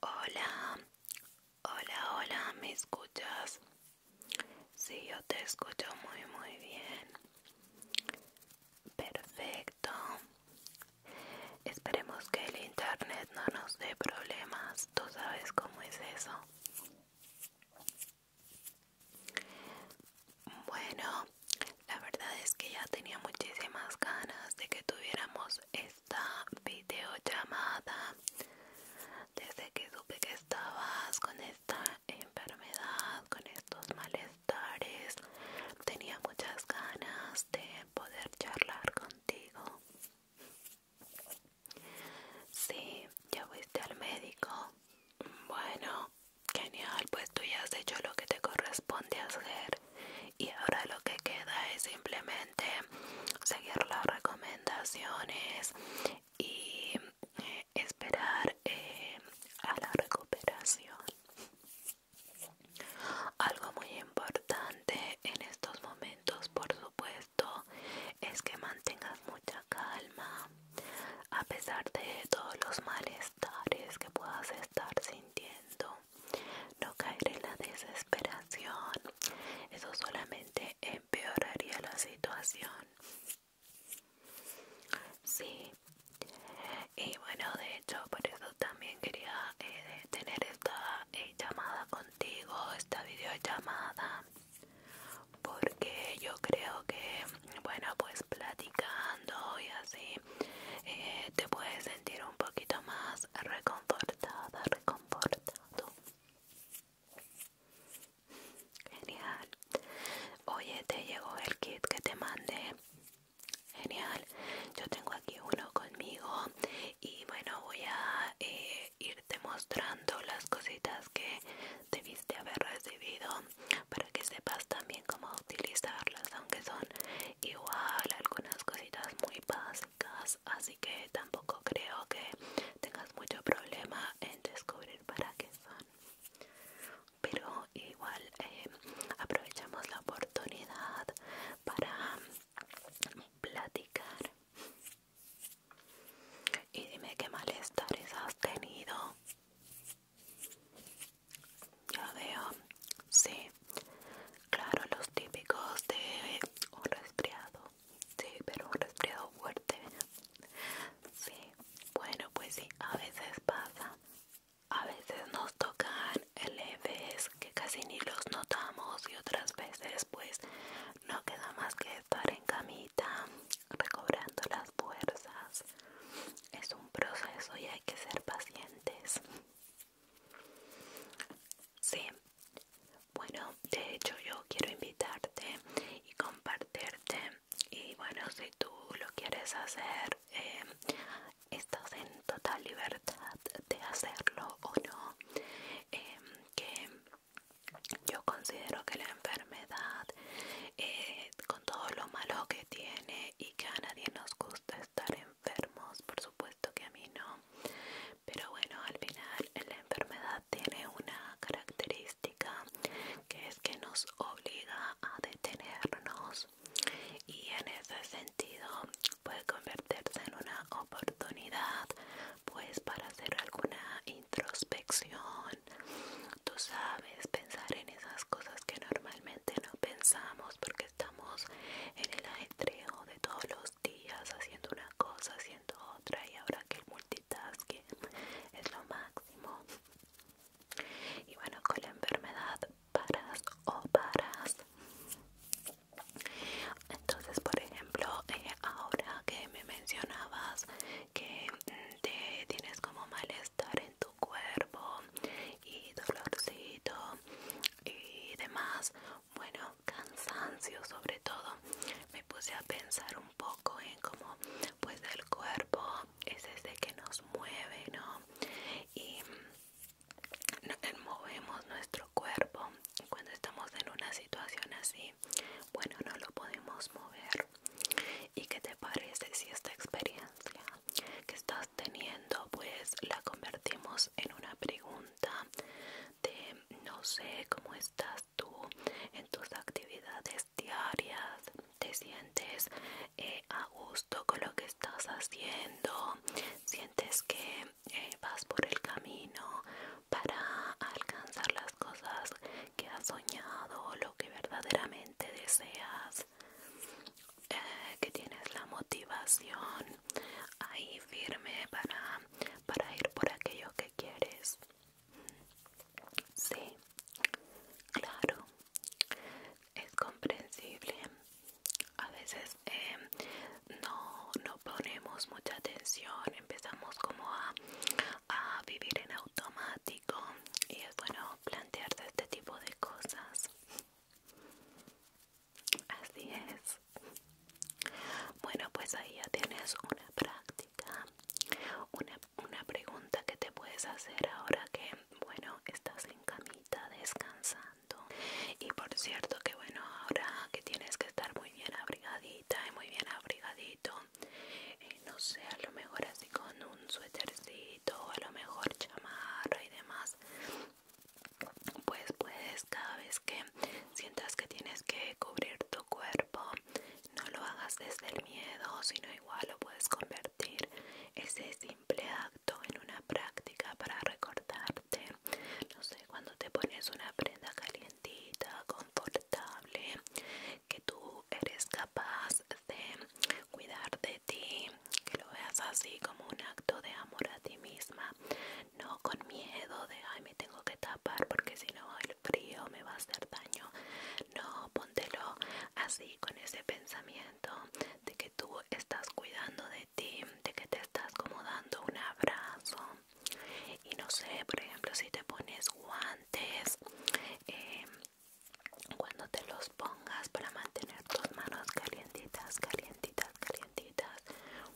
Hola, hola, hola, ¿me escuchas? Sí, yo te escucho muy, muy bien. Perfecto. Esperemos que el internet no nos dé problemas. Tú sabes cómo es eso. Bueno, la verdad es que ya tenía muchísimas ganas de que tuviéramos esta videollamada desde que supe que estabas con esta enfermedad, con estos malestares. Tenía muchas ganas de poder charlar contigo. Sí, ya fuiste al médico. Bueno, genial, pues tú ya has hecho lo que te corresponde hacer. Y ahora lo que queda es simplemente seguir las recomendaciones y eh, esperar eh, a la recuperación. Algo muy importante en estos momentos, por supuesto, es que mantengas mucha calma a pesar de todos los malestares que puedas estar sintiendo. No caer en la desesperación, eso solamente empeoraría la situación. Sí, y bueno, de hecho, por eso también quería eh, tener esta eh, llamada contigo, esta videollamada porque yo creo que bueno pues platicando y así eh, te puedes sentir un poquito más reconfortada reconfortado genial oye te llegó el kit que te mandé genial yo tengo aquí uno conmigo y bueno voy a ir eh, demostrando mostrando las cositas que debiste haber recibido para que sepas también cómo utilizarlas aunque son igual algunas cositas muy básicas así que tampoco creo que tengas mucho problema en descubrir para qué son pero igual eh, aprovechamos la oportunidad para platicar y dime qué malestares has tenido. Ya veo, sí, claro, los típicos de un oh, resfriado, sí, pero un resfriado fuerte. Sí, bueno, pues sí, a veces pasa. A veces nos tocan leves que casi ni los notamos y otras veces pues no queda más que estar en camita recobrando las fuerzas es un proceso y hay que ser pacientes sí bueno de hecho yo quiero invitarte y compartirte y bueno si tú lo quieres hacer em, estás en total libertad de hacerlo o no em, que yo considero que la enfermedad, eh, con todo lo malo que tiene y que a nadie nos gusta estar enfermos, por supuesto que a mí no, pero bueno, al final la enfermedad tiene una característica que es que nos obliga a detenernos y en ese sentido puede convertirse en una oportunidad pues para hacer alguna introspección tú sabes pensar en esas cosas que normalmente no pensamos porque estamos en el ajetreo de todos los días haciendo una cosa haciendo otra y ahora que el multitasking es lo máximo y bueno con la enfermedad paras o paras entonces, por ejemplo, eh, ahora que me mencionabas que mm, tienes como malestar en tu cuerpo y dolorcito y demás, bueno, cansancio sobre todo, me puse a pensar un poco en cómo pues el cuerpo es ese que nos mueve, ¿no? Y mm, eh, movemos nuestro cuerpo cuando estamos en una situación así bueno no lo podemos mover y qué te parece si esta experiencia que estás teniendo pues la convertimos en una pregunta de no sé cómo estás tú en tus actividades diarias te sientes eh, a gusto con lo que estás haciendo sientes que eh, vas por el camino para alcanzar las cosas que has soñado, lo que verdaderamente deseas, eh, que tienes la motivación ahí firme para, para ir por aquello que quieres. Sí, claro, es comprensible a veces em, no, ponemos mucha atención, empezamos como a, vivir en automático y es bueno plantearse este tipo de cosas. Así es. Bueno, pues ahí ya tienes una práctica, una, una pregunta que te puedes hacer ahora que, bueno, estás en camita descansando y por cierto que bueno ahora que tienes que estar muy bien abrigadita y muy bien abrigadito eh, no sé a lo mejor así con un suétercito a lo mejor chamarra y demás pues puedes cada vez que sientas que tienes que cubrir tu cuerpo no lo hagas desde el miedo sino igual lo puedes convertir ese simple acto en una práctica para recordar no sé, cuando te pones una prenda calientita, confortable, que tú eres capaz de cuidar de ti, que lo veas así como un acto de amor a ti misma, no con miedo de ay me tengo que tapar porque si no el frío me va a hacer daño. No, póntelo así con ese pensamiento de que tú estás cuidando de de que te estás como dando un abrazo. Y no sé, por ejemplo, si te pones guantes, em, cuando te los pongas para mantener tus manos calientitas, calientitas, calientitas,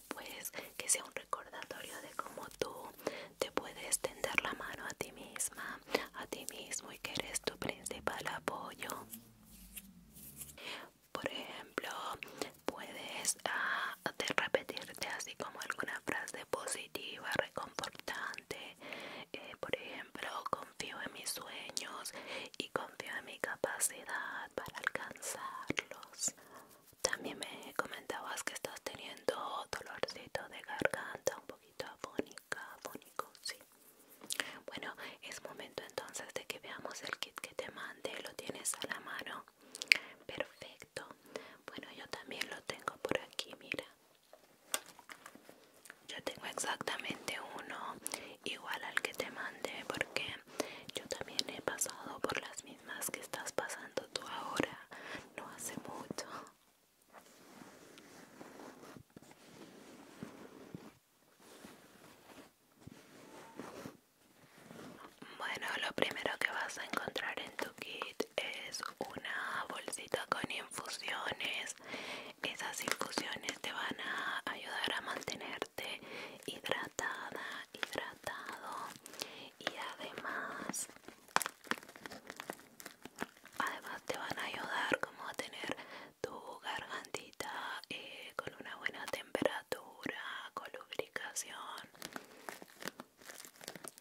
pues que sea un recordatorio de cómo tú te puedes tender la mano a ti misma, a ti mismo y que eres tu principal apoyo. Por ejemplo, puedes ah, repetirte así como alguna frase positiva, reconfortante. Eh, por ejemplo, confío en mis sueños y confío en mi capacidad para alcanzarlos. También me comentabas que estás teniendo dolorcito de garganta, un poquito afónica, afónico, sí. Bueno, es momento entonces de que veamos el kit que te mandé. ¿Lo tienes a la mano? Perfecto. Bueno, yo también lo tengo por aquí, mira. Yo tengo exactamente uno igual al que te mandé porque yo también he pasado por las mismas que estás pasando tú ahora. No hace mucho. Bueno, lo primero que vas a encontrar en tu kit es una bolsita con infusiones. Esas infusiones te van a ayudar a mantenerte hidratada, hidratado y además además te van a ayudar como a tener tu gargantita eh, con una buena temperatura, con lubricación.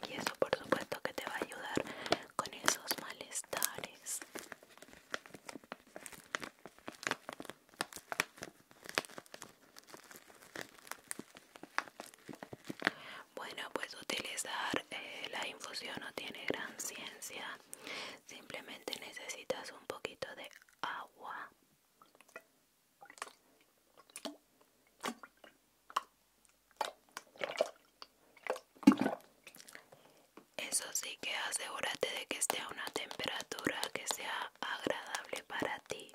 Y eso por supuesto que te va a ayudar con esos malestares. Bueno, pues utilizar eh, la infusión no tiene gran ciencia. Simplemente necesitas un poquito de agua eso sí que asegúrate de que esté a una temperatura que sea agradable para ti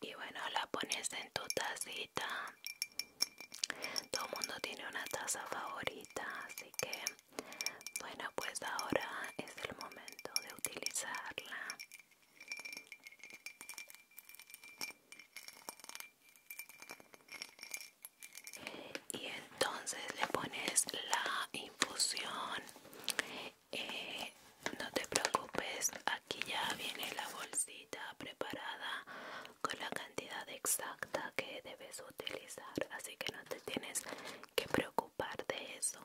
y bueno la pones en tu tacita todo el mundo tiene una taza favorita, así que bueno, pues ahora es el momento de utilizarla. Y entonces le pones la infusión. Eh, no te preocupes, aquí ya viene la bolsita preparada con la cantidad exacta que debes utilizar, así que no te tienes que preocupar de eso.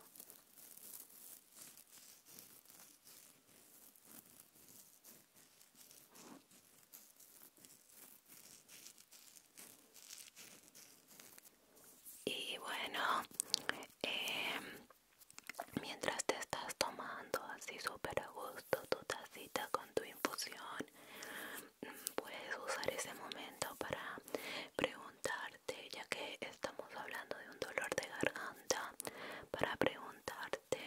Y bueno, em, mientras te estás tomando así súper a gusto tu tacita con tu infusión, puedes usar ese momento para preguntarte, ya que estamos hablando de un dolor de garganta, para preguntarte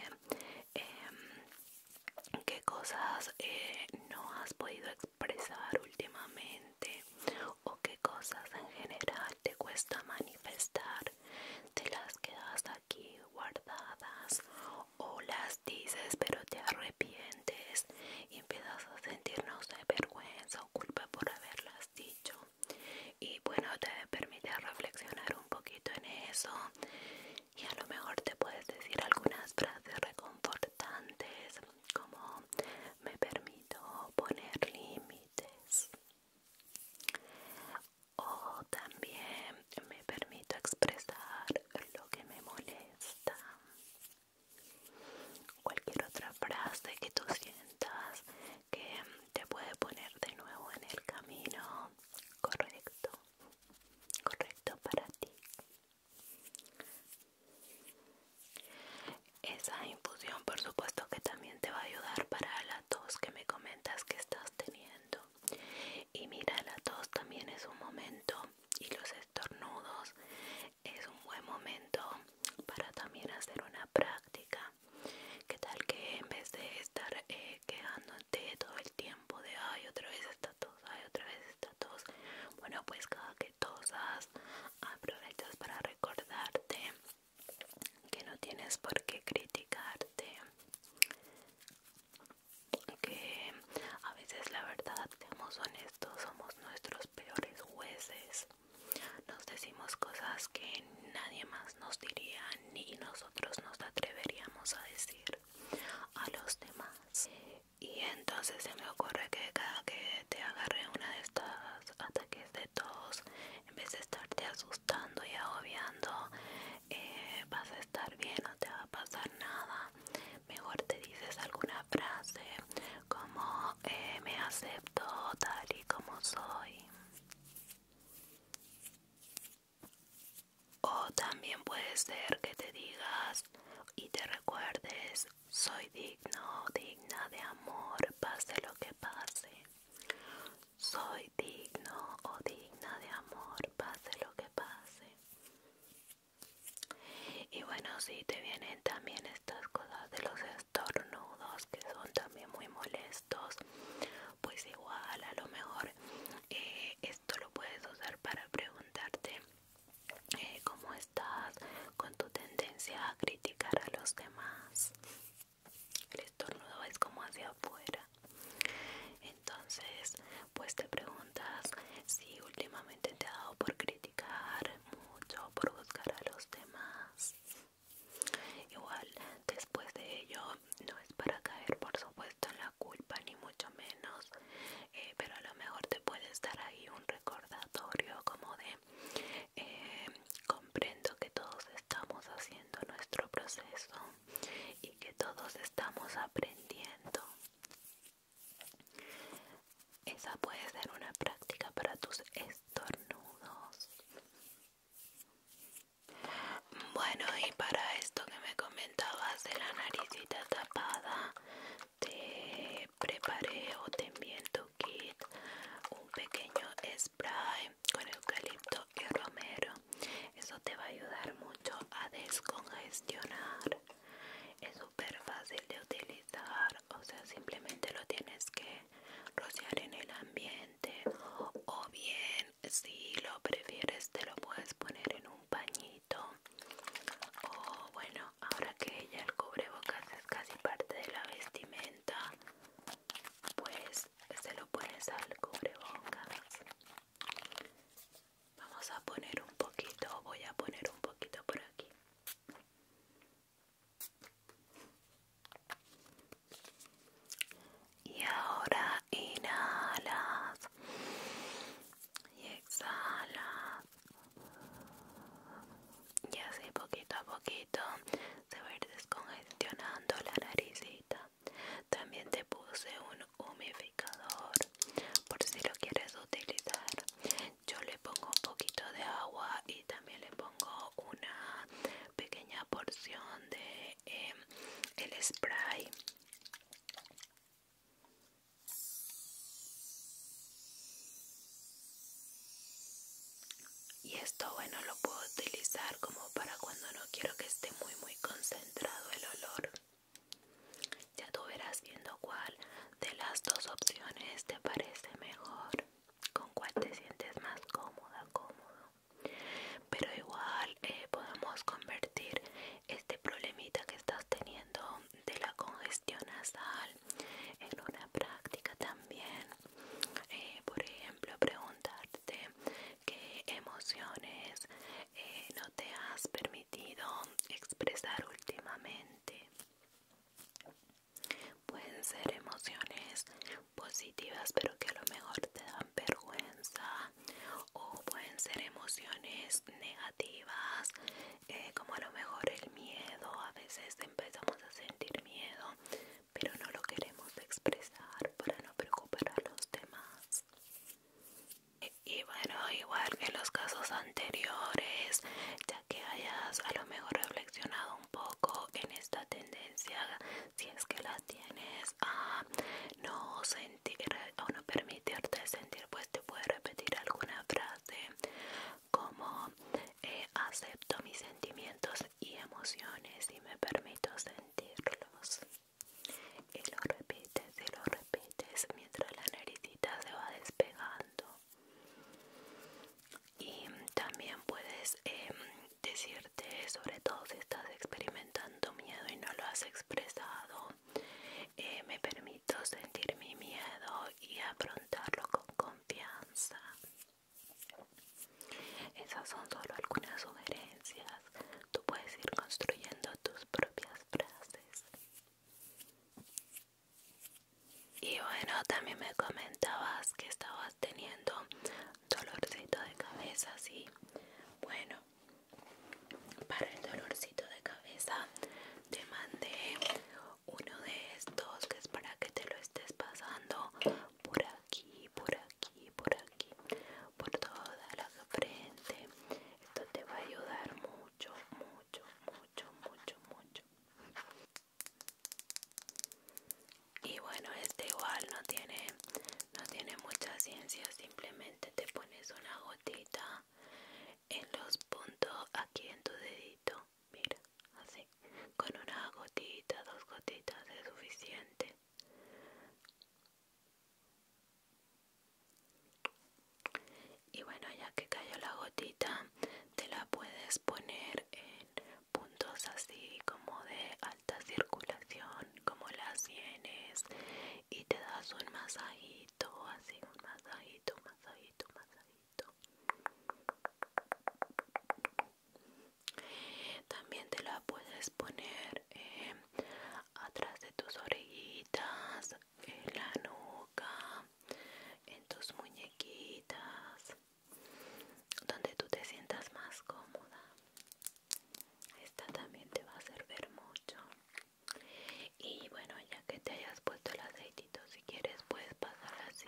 em, qué cosas eh, no has podido expresar últimamente o qué cosas en general te cuesta manifestar, te las quedas guardadas o las dices pero te arrepientes y empiezas a sentirnos de vergüenza o culpa por haberlas dicho y bueno te permite reflexionar un poquito en eso y a lo mejor te puedes decir algunas frases reconfortantes como me permito poner límites o también me permito expresar lo que me molesta. Cualquier otra frase que tú sientas que te puede poner de nuevo en el camino correcto, correcto para ti. Esa infusión por supuesto que también te va a ayudar para la tos que me comentas que estás teniendo. Y mira, la tos también es un momento y los estornudos es un buen momento para también hacer una práctica. ¿Qué tal que en vez de estar eh, quejándote todo el tiempo de ay otra vez esta tos, ay otra vez esta tos? Bueno, pues cada que tosas aprovechas para recordarte que no tienes por qué criticarte que a veces la verdad, somos honestos, somos nuestros peores jueces. Nos decimos cosas que nadie más nos diría ni nosotros nos atreveríamos a decir a los demás. Y entonces se me ocurre que cada que te agarre una de estas ataques de todos en vez de estarte asustando y agobiando, eh, vas a estar bien, no te va a pasar nada. Mejor te dices alguna frase como eh, me acepto tal y como soy. O también puede ser que te digas y te recuerdes, soy digno, digna de amor, pase lo que pase. Soy digno o digna de amor, pase lo que pase. Y bueno, si te vienen también estas cosas de los estornudos que son también muy molestos, pues igual a lo mejor eh, esto lo puedes usar para preguntarte eh, cómo estás con tu tendencia a criticar a los demás. El estornudo es como hacia afuera entonces, pues te preguntas si últimamente te ha dado por criticar mucho, por buscar a los demás. Igual, después de ello, no es para caer, por supuesto, en la culpa, ni mucho menos, eh, pero a lo mejor te puede estar ahí un recordatorio como de eh, comprendo que todos estamos haciendo nuestro proceso y que todos estamos aprendiendo. Esa puede ser una práctica para tus estornudos. Bueno, y para esto que me comentabas de la naricita tapada, te preparé o te envié en tu kit un pequeño spray con eucalipto que romero. Eso te va a ayudar mucho a descongestionar. Es súper fácil de utilizar, o sea, simplemente lo tienes que rociar en el ambiente o bien, si lo prefieres, te lo puedes poner en un pañito. O bueno, ahora que ya el cubrebocas es casi parte de la vestimenta, pues se lo pones al cubrebocas. Vamos a poner un poquito, voy a poner un poquito por aquí. Y ahora inhalas y exhalas. Y así poquito a poquito se va a ir descongestionando la naricita. También te puse un humificador por si lo quieres utilizar. Yo le pongo un poquito de agua y también le pongo una pequeña porción de em, el spray y esto bueno lo puedo utilizar como para cuando no quiero que esté muy muy concentrado el olor ya tú verás viendo cuál de las dos opciones te parece mejor con cuál te sientes más cómoda cómodo pero igual eh, podemos convertir este problemita que estás teniendo de la congestión nasal en una práctica también eh, por ejemplo preguntarte qué emociones eh, no te has permitido expresar últimamente. Pueden ser emociones positivas pero que a lo mejor te dan vergüenza o pueden ser emociones negativas eh, como a lo mejor el miedo. A veces empezamos a sentir miedo pero no lo queremos expresar para no preocupar a los demás. E, y bueno, igual que en los casos anteriores, ya que hayas a lo mejor reflexionado un poco en esta tendencia, si es que la tienes a no sentir o no permitirte sentir, pues te puede repetir alguna frase como eh, acepto mis sentimientos y emociones y me permito sentirlos. Y lo repites y lo repites mientras la naricita se va despegando. Y también puedes em, decirte, sobre todo si estás experimentando miedo y no lo has expresado, eh, me permito sentir mi miedo y afrontarlo con confianza. Esas son solo algunas sugerencias. Tú puedes ir construyendo tus propias frases. Y bueno, también me comentabas que estabas teniendo dolorcito de cabeza, sí. Bueno, para el dolorcito de cabeza te mandé uno de estos que es para que te lo estés pasando por aquí, por aquí, por aquí, por toda la frente. Esto te va a ayudar mucho, mucho, mucho, mucho, mucho. Y bueno, este igual no tiene, no tiene mucha ciencia, simplemente te pones una gotita en los puntos aquí en tu dedito. Mira, así con una gotita dos gotitas es suficiente y bueno ya que cayó la gotita te la puedes poner en puntos así como de alta circulación como las sienes y te das un masajito así un masajito masajito masajito también te la puedes poner eh, atrás de tus orejitas, en la nuca, en tus muñequitas, donde tú te sientas más cómoda. Esta también te va a servir mucho. Y bueno, ya que te hayas puesto el aceitito, si quieres puedes pasar así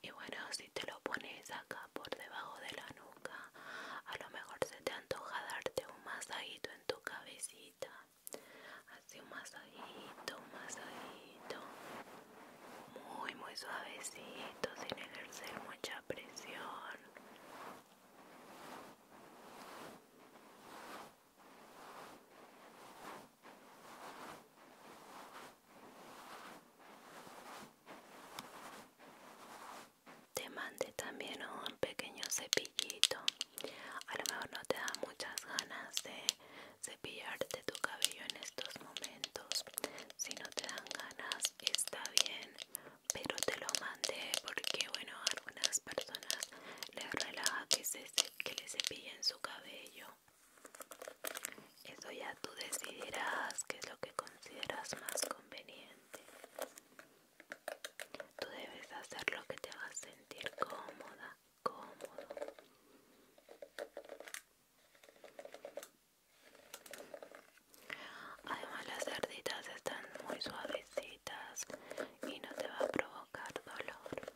y bueno si te lo pones acá por debajo de la nuca a lo mejor se te antoja darte un masajito en tu cabecita así un masajito un masajito muy muy suavecito sin ejercer mucha presión te mandé también un pequeño cepillito a lo mejor no te da muchas ganas de cepillarte tu cabello en estos momentos si no te dan ganas está bien pero te lo mandé porque bueno algunas personas les relaja que, que le cepillen su cabello eso ya tú decidirás qué es lo que consideras más conveniente. Tú debes hacer lo que te haga sentir cómoda, cómodo. Además las cerditas están muy suavecitas y no te va a provocar dolor.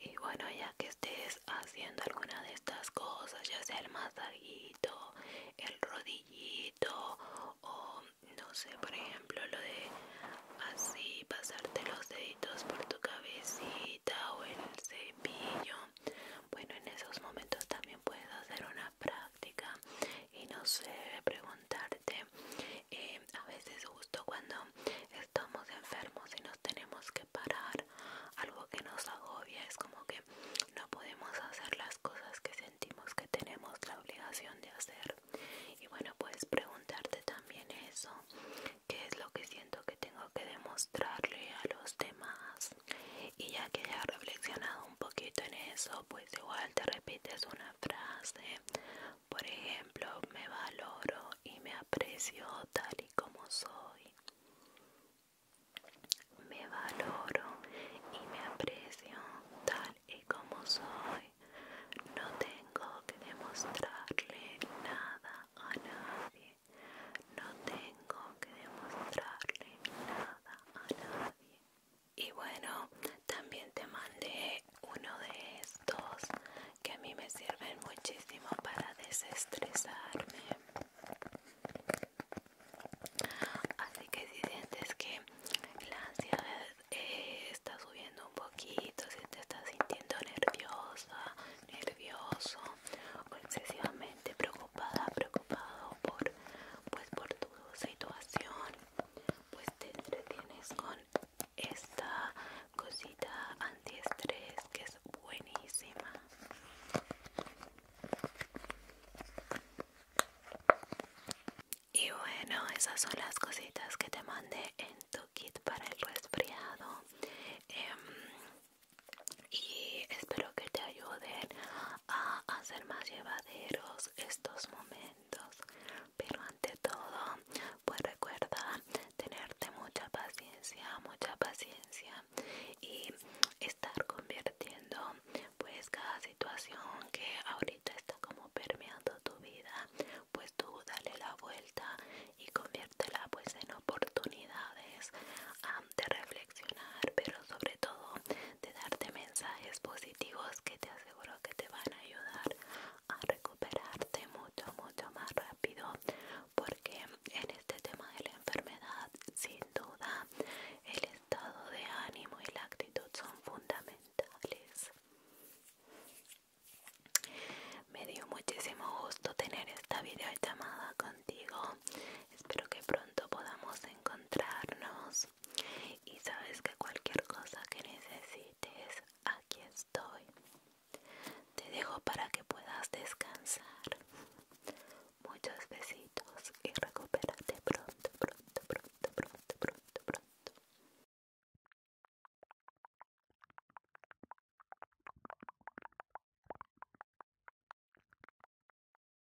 Y bueno, ya que estés haciendo alguna de estas cosas, ya sea el masajito, el rodillito o no sé, por ejemplo, lo de así pasarte los deditos por tu cabecita o el cepillo, bueno, en esos momentos también puedes hacer una práctica y no sé preguntarte eh, a veces justo cuando estamos enfermos y nos tenemos que parar algo que nos agobia es como que no podemos hacer las cosas que sentimos que tenemos la obligación de hacer y bueno puedes preguntarte también eso qué es lo que siento que tengo que demostrarle a los demás y ya que haya reflexionado un poquito en eso, pues igual te repites una frase. Por ejemplo, me valoro y me aprecio tal y como soy. Me valoro y me aprecio tal y como soy. No tengo que demostrarle nada a nadie. No tengo que demostrarle nada a nadie y bueno también te mandé uno de estos que a mí me sirven muchísimo para desestresarme así que si sientes que la ansiedad eh, está subiendo un poquito si te estás sintiendo nerviosa nervioso o excesivamente preocupada preocupado por pues, por tu situación pues te entretienes con esta cosita antiestrés que es buenísima y bueno esas son las cositas que te mandé en tu kit para el resfriado em, y espero que te ayuden a hacer más llevaderos estos momentos. Pero ante todo, pues recuerda tenerte mucha paciencia, mucha paciencia y estar convirtiendo pues cada situación que ahorita está como permeando tu vida, pues tú dale la vuelta y conviértela pues en oportunidades ah, de reflexionar, pero sobre todo de darte mensajes positivos que te aseguro que te van a ayudar a recuperarte mucho, mucho más rápido porque en este tema de la enfermedad sin duda el estado de ánimo y la actitud son fundamentales. Me dio muchísimo gusto tener esta videollamada contigo. Espero que pronto podamos encontrarnos y sabes que cualquier cosa que necesites, aquí estoy. Te dejo para que puedas descansar. Muchos besitos y recupérate pronto, pronto, pronto, pronto, pronto, pronto.